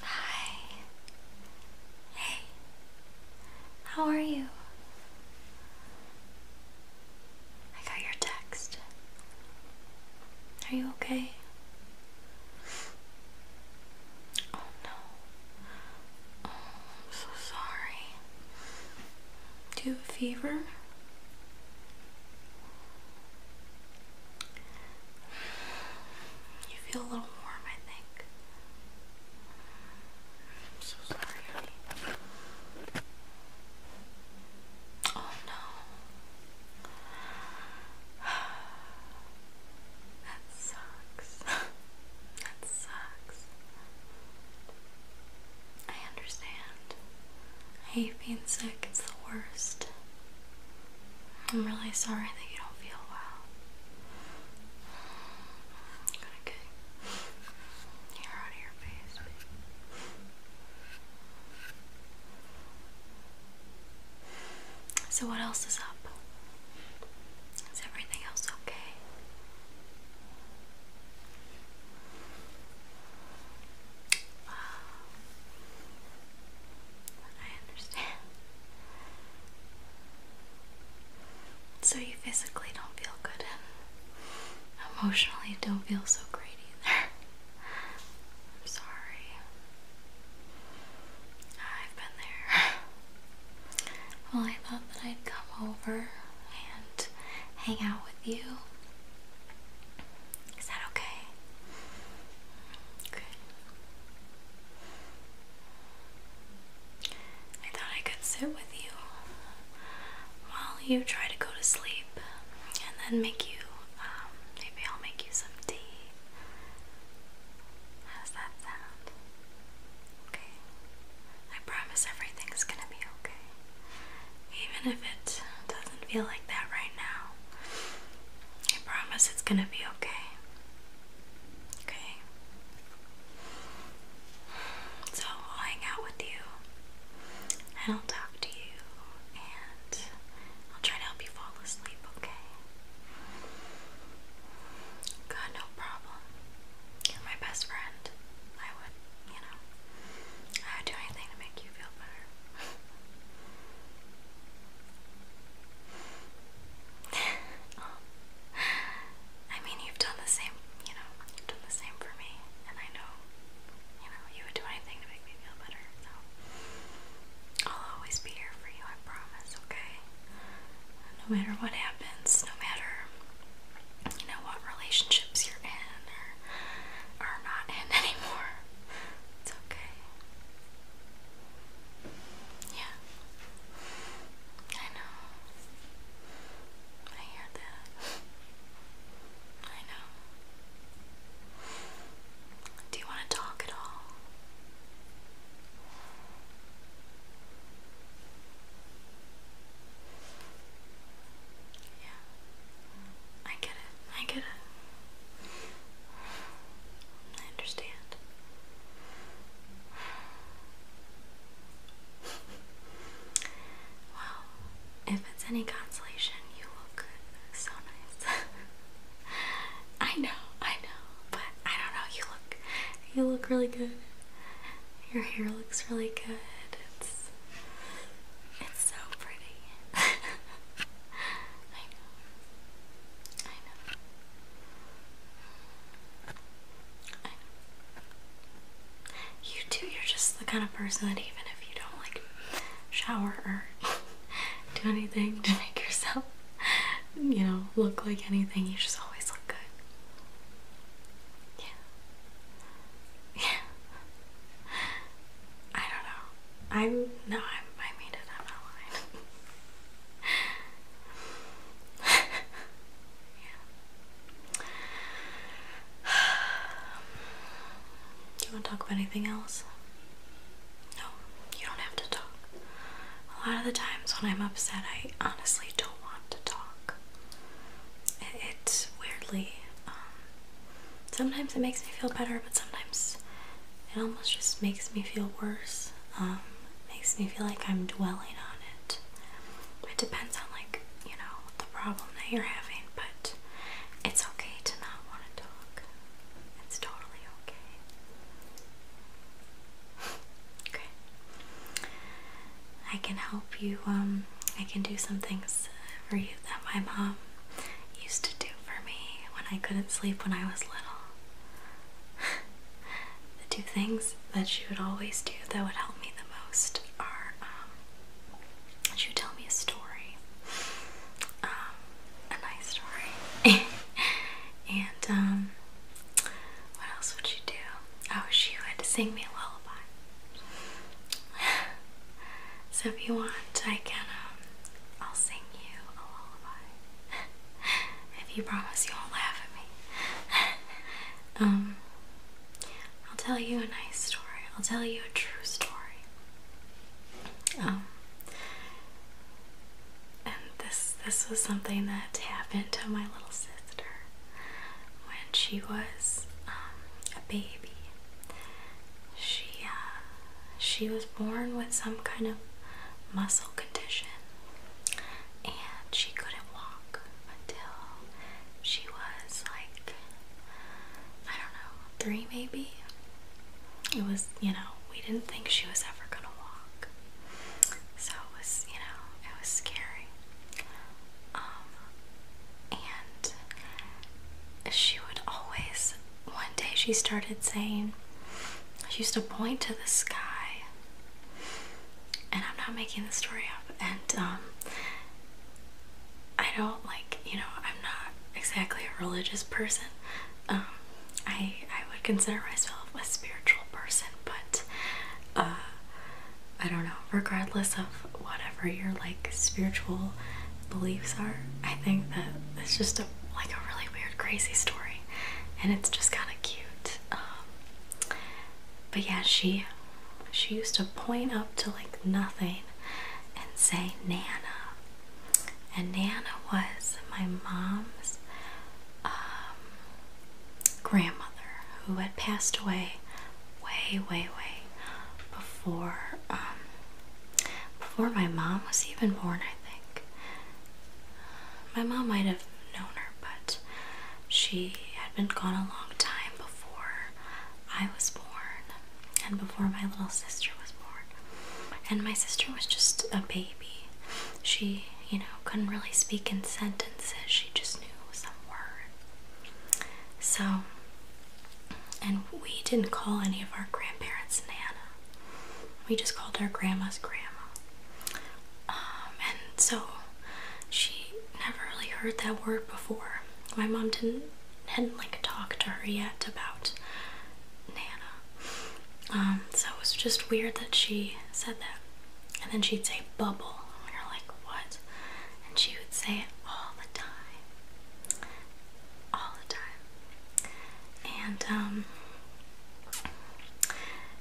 Hi. Hey. How are you? I got your text. Are you okay? Oh no. Oh, I'm so sorry. Do you have a fever? You feel a little warm, I think. I'm so sorry, Oh no. That sucks. that sucks. I understand. I hate being sick, it's the worst. I'm really sorry that you don't feel well. I'm going out of your face. So, what else is up? Is everything else okay? I understand. So you physically don't feel good emotionally don't feel so great either. I'm sorry. I've been there. Well, I thought that I'd come over and hang out with you. Is that okay? Good. I thought I could sit with you while you try to go to sleep and then make you, um, maybe I'll make you some tea. How's that sound? Okay. I promise everything's gonna be okay. Even if it doesn't feel like that right I promise it's gonna be okay. Okay. So I'll hang out with you I'll talk to you and I'll try to help you fall asleep, okay? God, no problem. You're my best friend. I would, you know, I would do anything to make you feel better. I mean, you've done the same, you know, you've done the same for me, and I know, you know, you would do anything to make me feel better, so I'll always be here for you, I promise, okay? No matter what happens, no matter, you know, what relationships you're in or are not in anymore, it's okay. Yeah. I know. I hear that. I know. Do you want to talk at all? Yeah. I get it. I get it. I understand. Well, if it's any consolation, you look so nice. I know, I know, but I don't know. You look, you look really good. Your hair looks really good. It's, it's so pretty. I know. I know. I know. You too, you're just the kind of person that even if you don't like shower or do anything to make yourself, you know, look like anything, you just always look good. Yeah. Yeah. I don't know. I'm no, I'm, I made it. i my line. yeah. Do you want to talk about anything else? No, you don't have to talk. A lot of the times when I'm upset, I honestly don't want to talk. it's weirdly. Um, sometimes it makes me feel better, but sometimes it almost just makes me feel worse. Um, makes me feel like I'm dwelling on it. It depends on like you know the problem that you're having, but it's okay to not want to talk. It's totally okay. okay. I can help you. Um, I can do some things for you that my mom used to do for me when I couldn't sleep when I was little. the two things that she would always do that would help me the most are um, she would tell me a story, um, a nice story, and um, what else would she do? Oh, she would sing me a lullaby. so if you want, I can. Um, I'll sing you a lullaby if you promise you won't laugh at me. um, I'll tell you a nice story. I'll tell you a true story. Um, and this this was something that happened to my little sister when she was um, a baby she uh, she was born with some kind of muscle condition and she couldn't walk until she was like I don't know three maybe it was you know we didn't think she was ever gonna walk so it was you know it was scary um, and she would always one day she started saying, she used to point to the sky, and I'm not making the story up, and um, I don't like, you know, I'm not exactly a religious person. Um, I, I would consider myself a spiritual person, but uh, I don't know, regardless of whatever your like spiritual beliefs are. I think that it's just a like a really weird, crazy story, and it's just kind of cute. Um, but yeah, she she used to point up to like nothing and say Nana, and Nana was my mom's um, grandmother who had passed away way, way, way before um, before my mom was even born. I think. My mom might have known her, but she had been gone a long time before I was born and before my little sister was born. And my sister was just a baby. She, you know, couldn't really speak in sentences, she just knew some words. So, and we didn't call any of our grandparents Nana we just called her grandma's grandma. Um, and so she never really heard that word before. My mom didn't hadn't like talked to her yet about Nana. Um, so it was just weird that she said that. And then she'd say bubble. And we were like, what? And she would say it all the time. All the time. And um,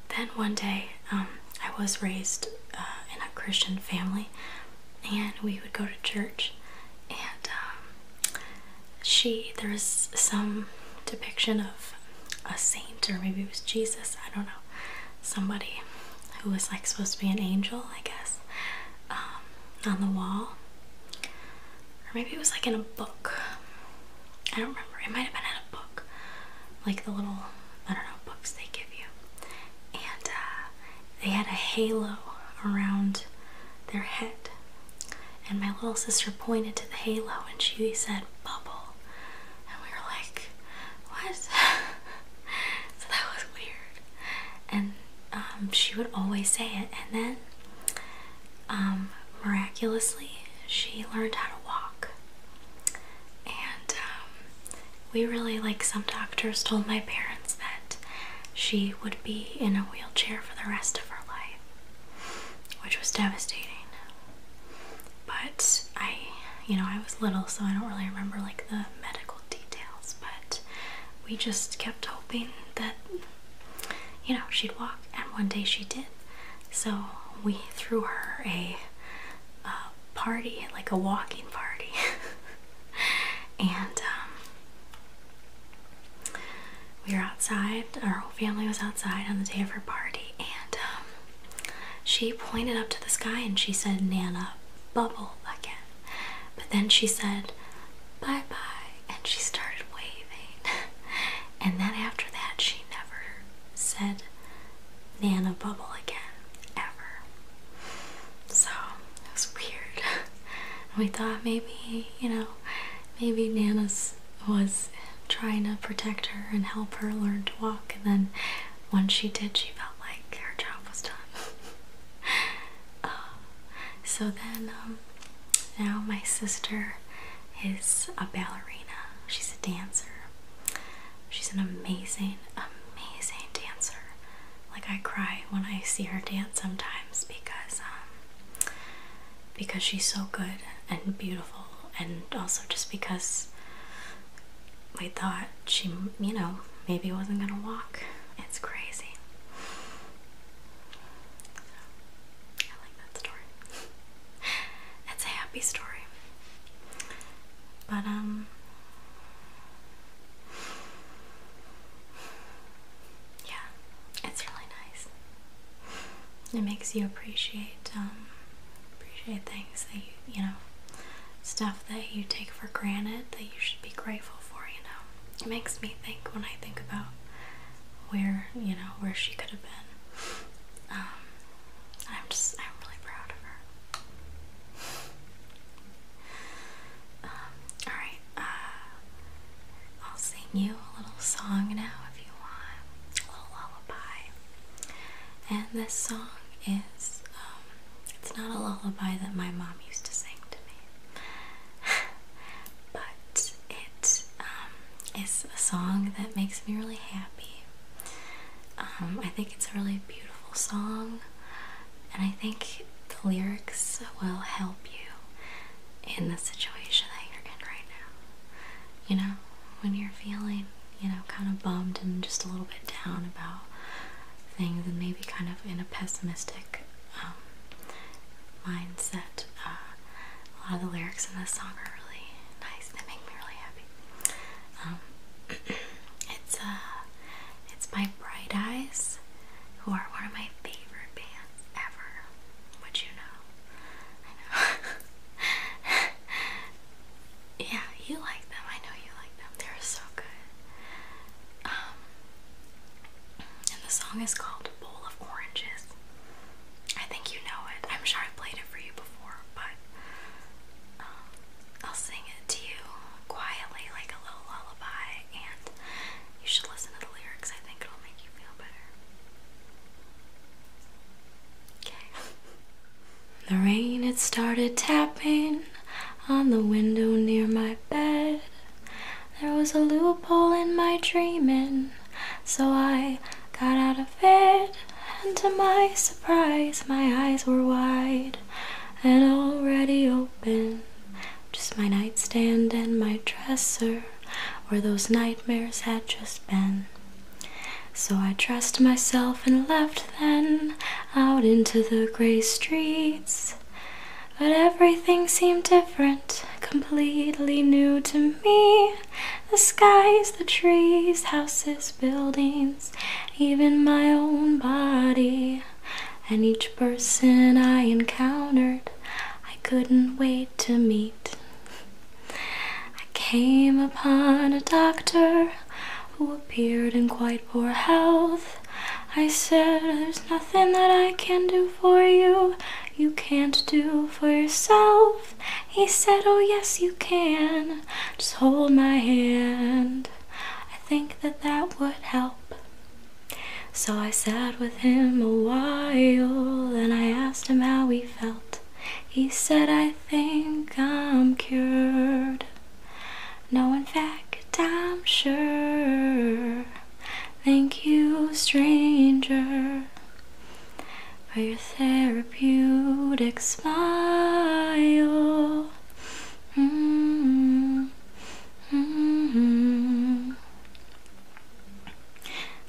then one day, um, I was raised uh, in a Christian family, and we would go to church. And um, she, there was some depiction of a saint, or maybe it was Jesus, I don't know, somebody who was like supposed to be an angel, I guess, on the wall or maybe it was like in a book. I don't remember. It might have been in a book, like the little I don't know books they give you. And uh, they had a halo around their head, and my little sister pointed to the halo and she said bubble, and we were like, what? so that was weird. And um, she would always say it, and then um, miraculously, she learned how to walk. And um, we really, like some doctors, told my parents that she would be in a wheelchair for the rest of her life, which was devastating. But I, you know, I was little, so I don't really remember like the medical details, but we just kept hoping that you know, she'd walk, and one day she did. So we threw her a, party, like a walking party. and um, we were outside, our whole family was outside on the day of her party, and um, she pointed up to the sky and she said, Nana, bubble again. But then she said, bye bye, and she started waving. and then after that, she never said Nana Bubble again, ever. So it was weird. we thought maybe, you know, maybe Nana's was trying to protect her and help her learn to walk, and then once she did, she felt like her job was done. Uh, so then, um, now my sister is a ballerina. She's a dancer. She's an amazing, amazing dancer. Like I cry when I see her dance sometimes because um, because she's so good and beautiful, and also just because we thought she, you know, maybe wasn't gonna walk. It's crazy telling that story. it's a happy story. But, um, yeah, it's really nice. It makes you appreciate, um, appreciate things that you, you know, stuff that you take for granted that you should be grateful for, you know it makes me think when I think about where you know where she could have been. Um, I'm just I'm really proud of her. Um, all right, uh, I'll sing you a little song now if you want, a little lullaby. And this song is um, it's not a lullaby that my mom used to sing to me, but it um, is a song that makes me really happy. Um, I think it's a really beautiful song, and I think the lyrics will help you in the situation that you're in right now. You know, when you're feeling, you know, kind of bummed and just a little bit down about things, and maybe kind of in a pessimistic um, mindset. Uh, a lot of the lyrics in this song are really nice. and They make me really happy. Um, it's uh, it's my Bright Eyes, who are one of my favorite bands ever. Would you know? I know. yeah, you like them. I know you like them. They're so good. Um, and the song is called called Bowl of Oranges. I think you know it. I'm sure i played it for you before, but um, I'll sing it to you quietly like a little lullaby, and you should listen to the lyrics. I think it'll make you feel better. Okay. The rain had started tapping on the window near my bed. There was a loophole in my dreaming, so I got out of bed, and to my surprise, my eyes were wide and already open. Just my nightstand and my dresser, where those nightmares had just been. So I dressed myself and left then out into the gray streets. But everything seemed different completely new to me. The skies, the trees, houses, buildings, even my own body. And each person I encountered, I couldn't wait to meet. I came upon a doctor who appeared in quite poor health. I said, There's nothing that I can do for you you can't do for yourself. He said, Oh, yes, you can. Just hold my hand. I think that that would help. So I sat with him a while and I asked him how he felt. He said, I think I'm cured. No, in fact, I'm sure Thank you, stranger, for your therapeutic smile. Mm-hmm. Mm-hmm.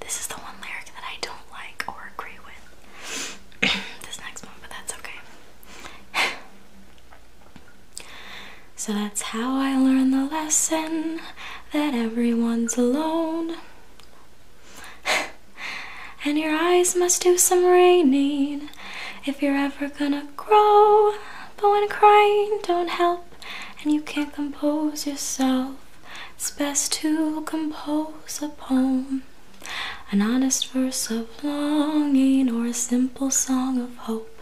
This is the one lyric that I don't like or agree with. this next one, but that's okay. so that's how I learned the lesson that everyone's alone. and your eyes must do some raining if you're ever gonna grow. But when crying don't help and you can't compose yourself, it's best to compose a poem. An honest verse of longing or a simple song of hope.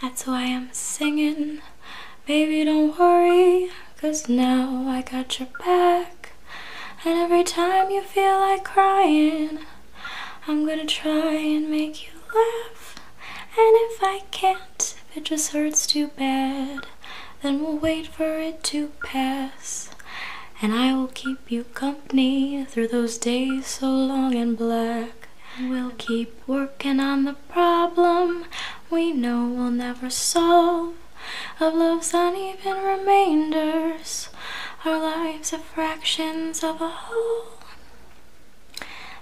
That's why I'm singing Baby, don't worry, cause now I got your back. And every time you feel like crying, I'm gonna try and make you laugh. And if I can't, if it just hurts too bad, then we'll wait for it to pass. And I will keep you company through those days so long and black. We'll keep working on the problem we know we'll never solve. Of love's uneven remainders, our lives are fractions of a whole.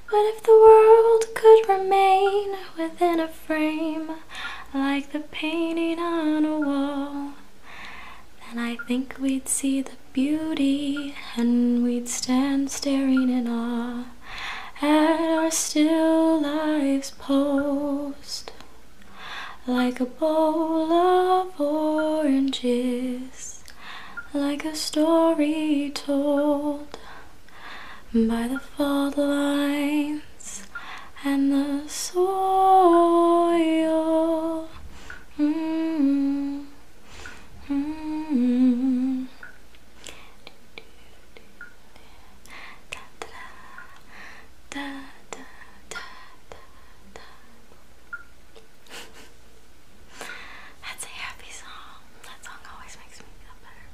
But if the world could remain within a frame, like the painting on a wall, then I think we'd see the beauty and we'd stand staring in awe at our still life's post like a bowl of oranges, like a story told by the fault lines and the soil. Mm-hmm. Mm-hmm. That's a happy song. That song always makes me feel better.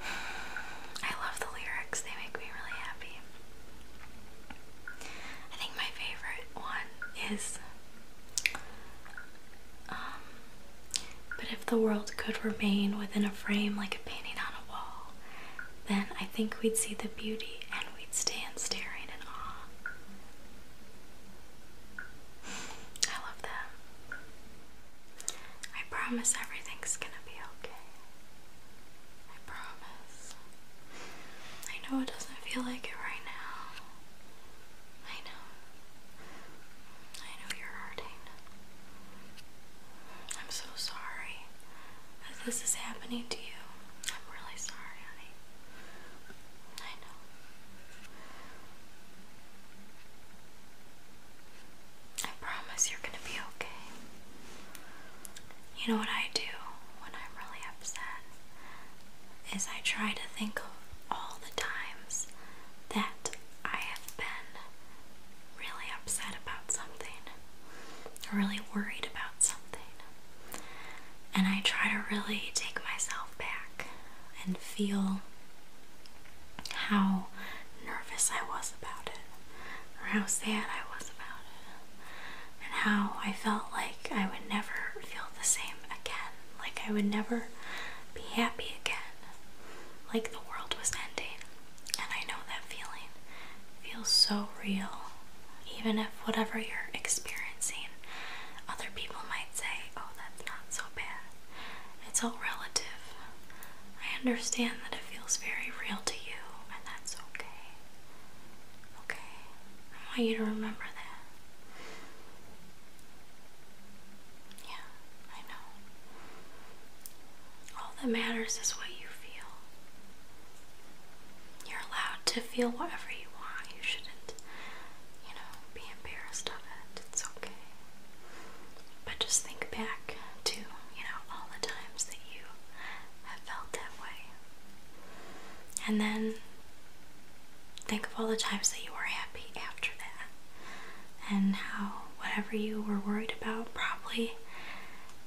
I love the lyrics, they make me really happy. I think my favorite one is um, but if the world could remain within a frame like a painting on a wall, then I think we'd see the beauty and we'd stand staring in awe. I love that. I promise everything's gonna be okay. I promise. I know it doesn't feel like it right now. I know. I know you're hurting. I'm so sorry this is happening to you. I'm really sorry, honey. I know. I promise you're gonna be okay. You know what I do when I'm really upset? is I try to think of all the times that I have been really upset about something, really worried about something, and I try to really take myself back and feel how nervous I was about it, or how sad I was about it, and how I felt like like I would never feel the same again. Like I would never be happy again. Like the world was ending. And I know that feeling feels so real. Even if whatever you're experiencing, other people might say, oh, that's not so bad. It's all relative. I understand that it feels very real to you, and that's okay. Okay? I want you to remember that. Yeah, I know. All that matters is what you feel. You're allowed to feel whatever you want. You shouldn't, you know, be embarrassed of it. It's okay. But just think back to, you know, all the times that you have felt that way. And then Think of all the times that you were happy after that, and how whatever you were worried about probably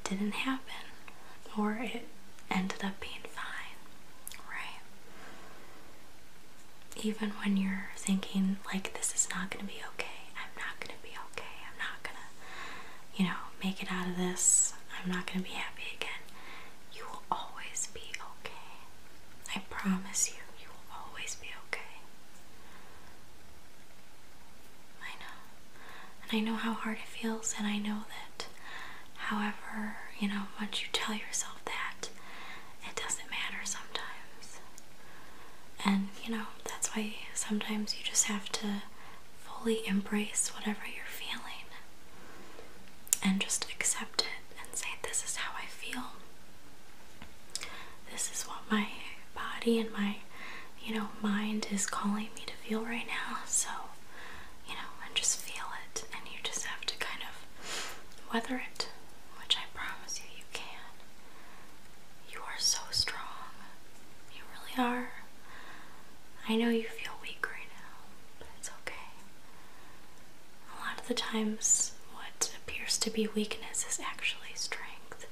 didn't happen or it ended up being fine, right? Even when you're thinking, like, this is not going to be okay, I'm not going to be okay, I'm not going to, you know, make it out of this, I'm not going to be happy again. You will always be okay. I promise you, you will always be okay. I know. And I know how hard it feels, and I know that, however, you know, once you tell yourself that, it doesn't matter sometimes. And, you know, that's why sometimes you just have to fully embrace whatever you're feeling and just accept it and say, This is how I feel. This is what my body and my, you know, mind is calling me to feel right now. So, you know, and just feel it. And you just have to kind of weather it, which I promise you, you can. You are so strong. You really are. I know you feel weak right now, but it's okay a lot of the times what appears to be weakness is actually strength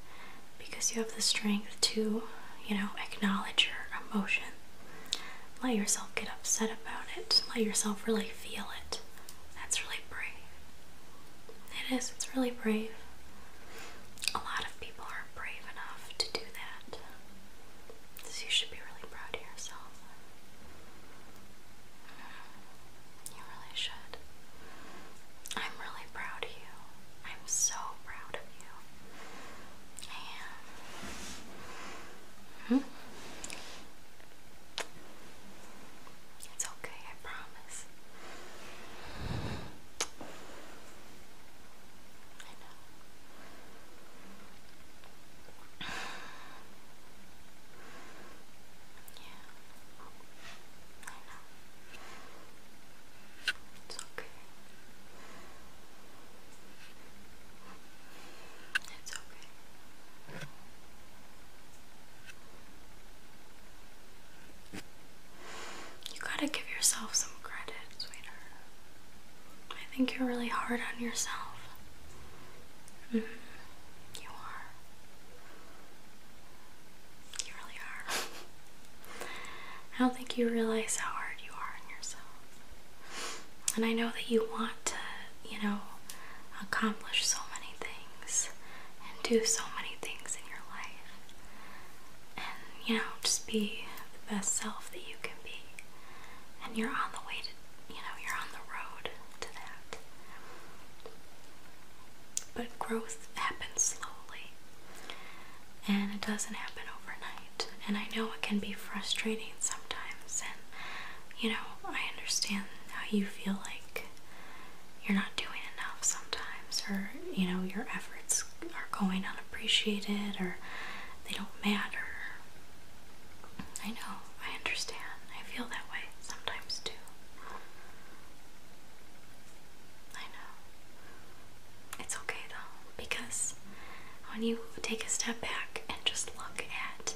because you have the strength to, you know, acknowledge your emotion. Let yourself get upset about it. Let yourself really feel it. That's really brave. It is, it's really brave. A lot of people are brave enough to do that. So you should be really proud of yourself. You really should. I'm really proud of you. I'm so proud of you. I am. -hmm. It's okay, I promise. I know. Yeah. I It's okay. It's okay. You gotta give yourself some credit, sweetheart. I think you're really hard on yourself. You are. You really are. I don't think you realize how hard you are on yourself. And I know that you want to, you know, accomplish so many things and do so many things in your life. And, you know, just be the best self that you can be. And you're on the way to you know, you're on the road to that. But growth happens slowly and it doesn't happen overnight. And I know it can be frustrating sometimes, and you know, I understand how you feel like you're not doing enough sometimes, or you know, your efforts are going unappreciated, or they don't matter. I know I understand. I feel that way sometimes too. I know. It's okay though, because when you take a step back and just look at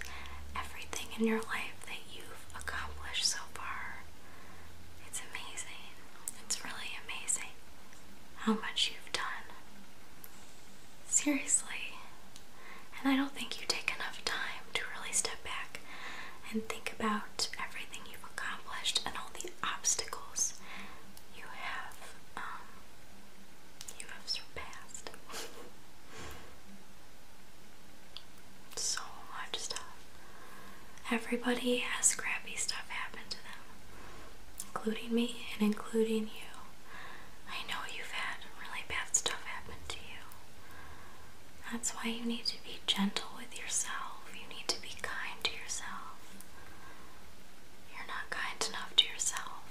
everything in your life that you've accomplished so far, it's amazing. It's really amazing how much you've done. Seriously. And I don't think you take enough time to really step back and think about everything you've accomplished and all the obstacles you have um, you have surpassed. so much uh, stuff. Everybody has crappy stuff happen to them, including me and including you. I know you've had really bad stuff happen to you. That's why you need to be gentle with yourself. You need to be kind to yourself. You're not kind enough to yourself.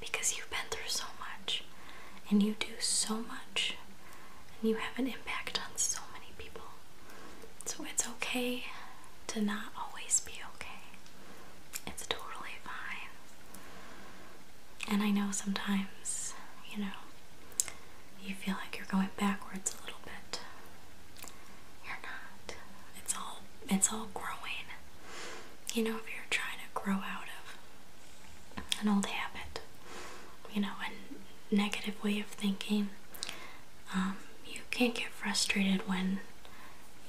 Because you've been through so much, and you do so much, and you have an impact on so many people. So it's okay to not always be okay. It's totally fine. And I know sometimes, you know, you feel like you're going backwards a little bit. You're not. It's all it's all growing. You know, if you're trying to grow out of an old habit, you know, a negative way of thinking, um, you can't get frustrated when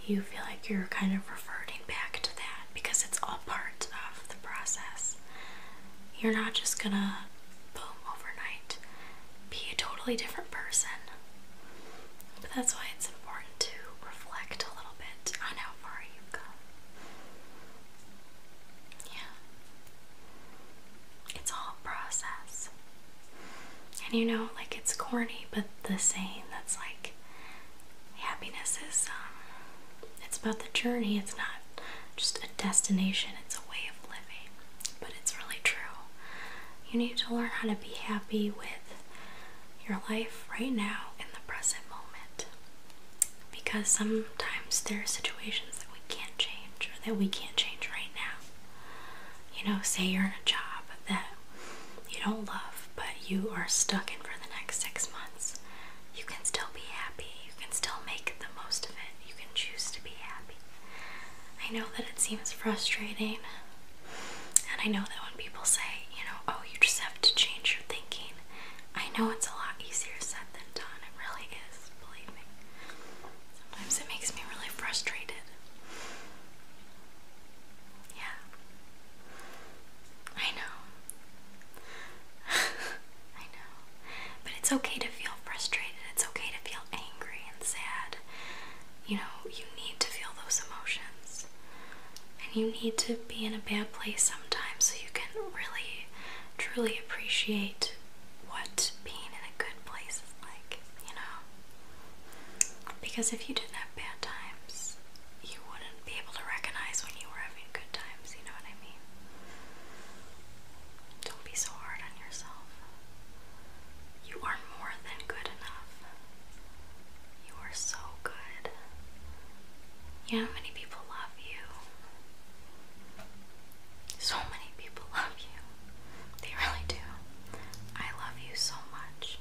you feel like you're kind of reverting back to that because it's all part of the process. You're not just gonna, boom, overnight, be a totally different person. But that's why it's important to reflect a little bit on how far you've come. Yeah. It's all a process. And you know, like it's corny, but the saying that's like, happiness is um, it's about the journey it's not just a destination it's a way of living but it's really true you need to learn how to be happy with your life right now in the present moment because sometimes there are situations that we can't change or that we can't change right now you know say you're in a job that you don't love but you are stuck in for the next six months, you can still be happy. You can still make the most of it. You can choose to be happy. I know that it seems frustrating, and I know that when people say, you know, oh, you just have to change your thinking, I know it's a lot easier said than done. It really is, believe me. Sometimes it makes me really frustrated. Yeah. I know. I know. But it's okay to feel frustrated. It's okay to feel angry and sad. You know, you need to feel those emotions. And you need to be in a bad place sometimes so you can really, truly appreciate what being in a good place is like, you know? Because if you didn't have bad times, you wouldn't be able to recognize when you were having good times, you know what I mean? Don't be so hard on yourself. You are more than good enough. You are so good. You know how many people love you? So many people love you. They really do. I love you so much.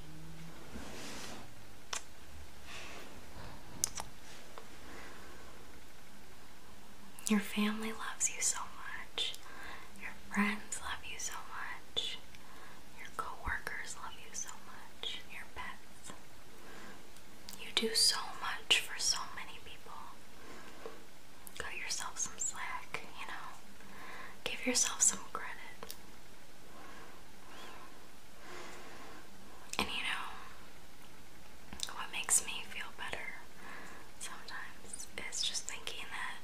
Your family loves you so much. Your friends love you so much. Your coworkers love you so much. Your pets. You do so much for so many people. Cut yourself some slack, you know. Give yourself some credit. And you know, what makes me feel better sometimes is just thinking that,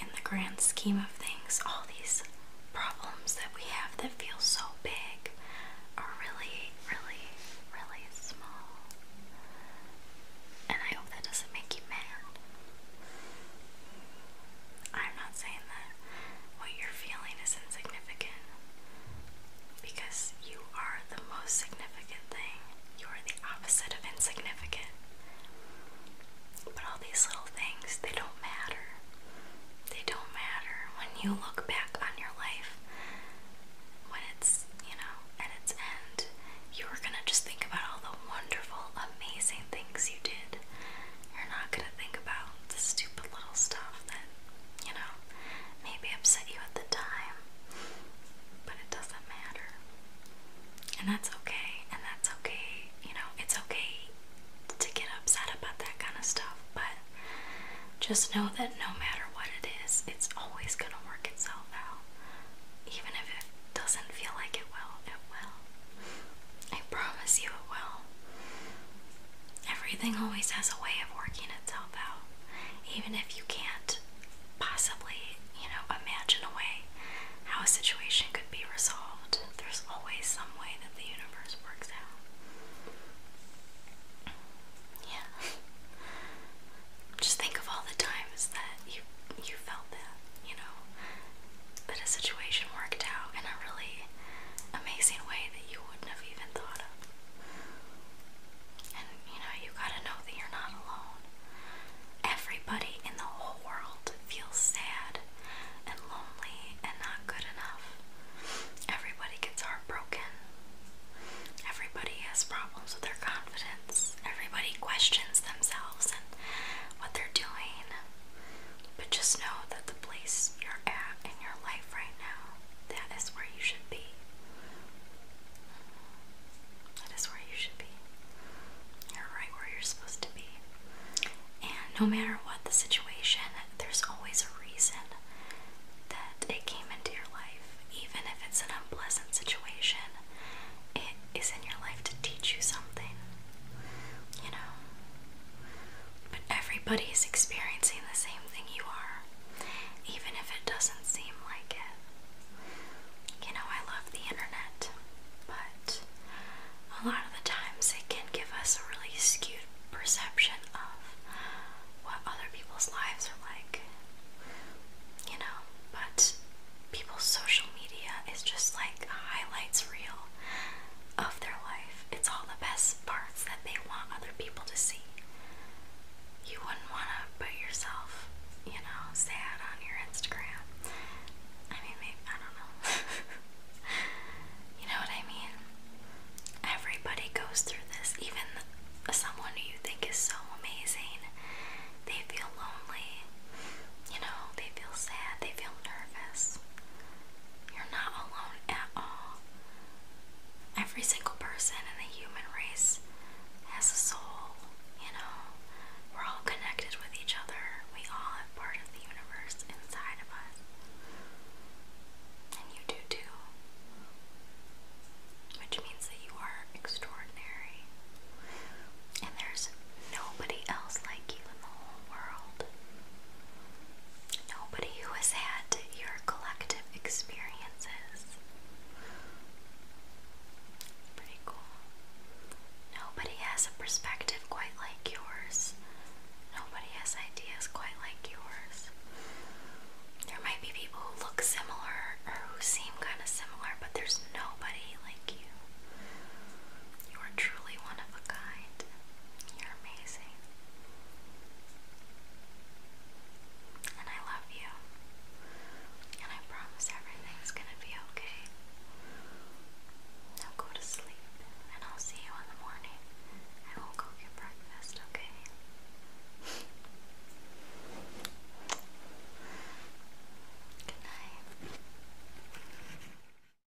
in the grand scheme of things, all these problems that we have that feel so big are really, really, really small. And I hope that doesn't make you mad. I'm not saying that what you're feeling is insignificant because you are the most significant thing. You are the opposite of insignificant. But all these little things, they don't matter. They don't matter when you look back on your life. When it's, you know, at its end, you are going to just think about all the wonderful, amazing things you did you're not gonna think about the stupid little stuff that, you know, maybe upset you at the time, but it doesn't matter. And that's okay, and that's okay, you know, it's okay to get upset about that kind of stuff, but just know that no matter what it is, it's always gonna work itself out. Even if it doesn't feel like it will, it will. I promise you it will. Everything always has a way of working itself out, even if you can't possibly, you know, imagine a way how a situation could be resolved. There's always some way that the universe works out. Yeah. Just think of all the times that you you felt that, you know, but a situation worked out in a really amazing way that you wouldn't have even thought of. And you know, you gotta know that you're not alone. Everybody in the whole world feels sad and lonely and not good enough. Everybody gets heartbroken. Everybody has problems with their confidence. Everybody questions themselves and what they're doing. But just know that the place you're at in your life right now, that is where you should be. That is where you should be. You're right where you're supposed to be. And no matter what the situation, there's always a reason that it came into your life. Even if it's an unpleasant situation, it is in your life to teach you something. You know? But everybody is experiencing the same thing you are, even if it doesn't seem like it. You know, I love the internet, but a lot of the times it can give us a really skewed perception of what other people's lives are like. You know, but people's social media is just like highlights reel of their life. It's all the best parts that they want other people to see. You wouldn't want to put yourself, you know, sad on your Instagram. I mean, I don't know. you know what I mean? Everybody goes through this, even someone who you think is so amazing. They feel lonely, you know, they feel sad, they feel nervous. You're not alone at all. Every single person in the human race has a soul, you know. We're all connected with each other. We all have part of the universe inside of us. And you do too. Which means that you are extraordinary. And there's nobody else like you in the whole world. Nobody who has had your collective experiences. Pretty cool. Nobody has a perspective quite like yours. Nobody has ideas quite like yours. There might be people who look similar or who seem kind of similar, but there's nobody like you. You are truly one of a kind. You're amazing. And I love you. And I promise everything's gonna be okay. Now go to sleep, and I'll see you in the morning. I will cook your breakfast, okay? Good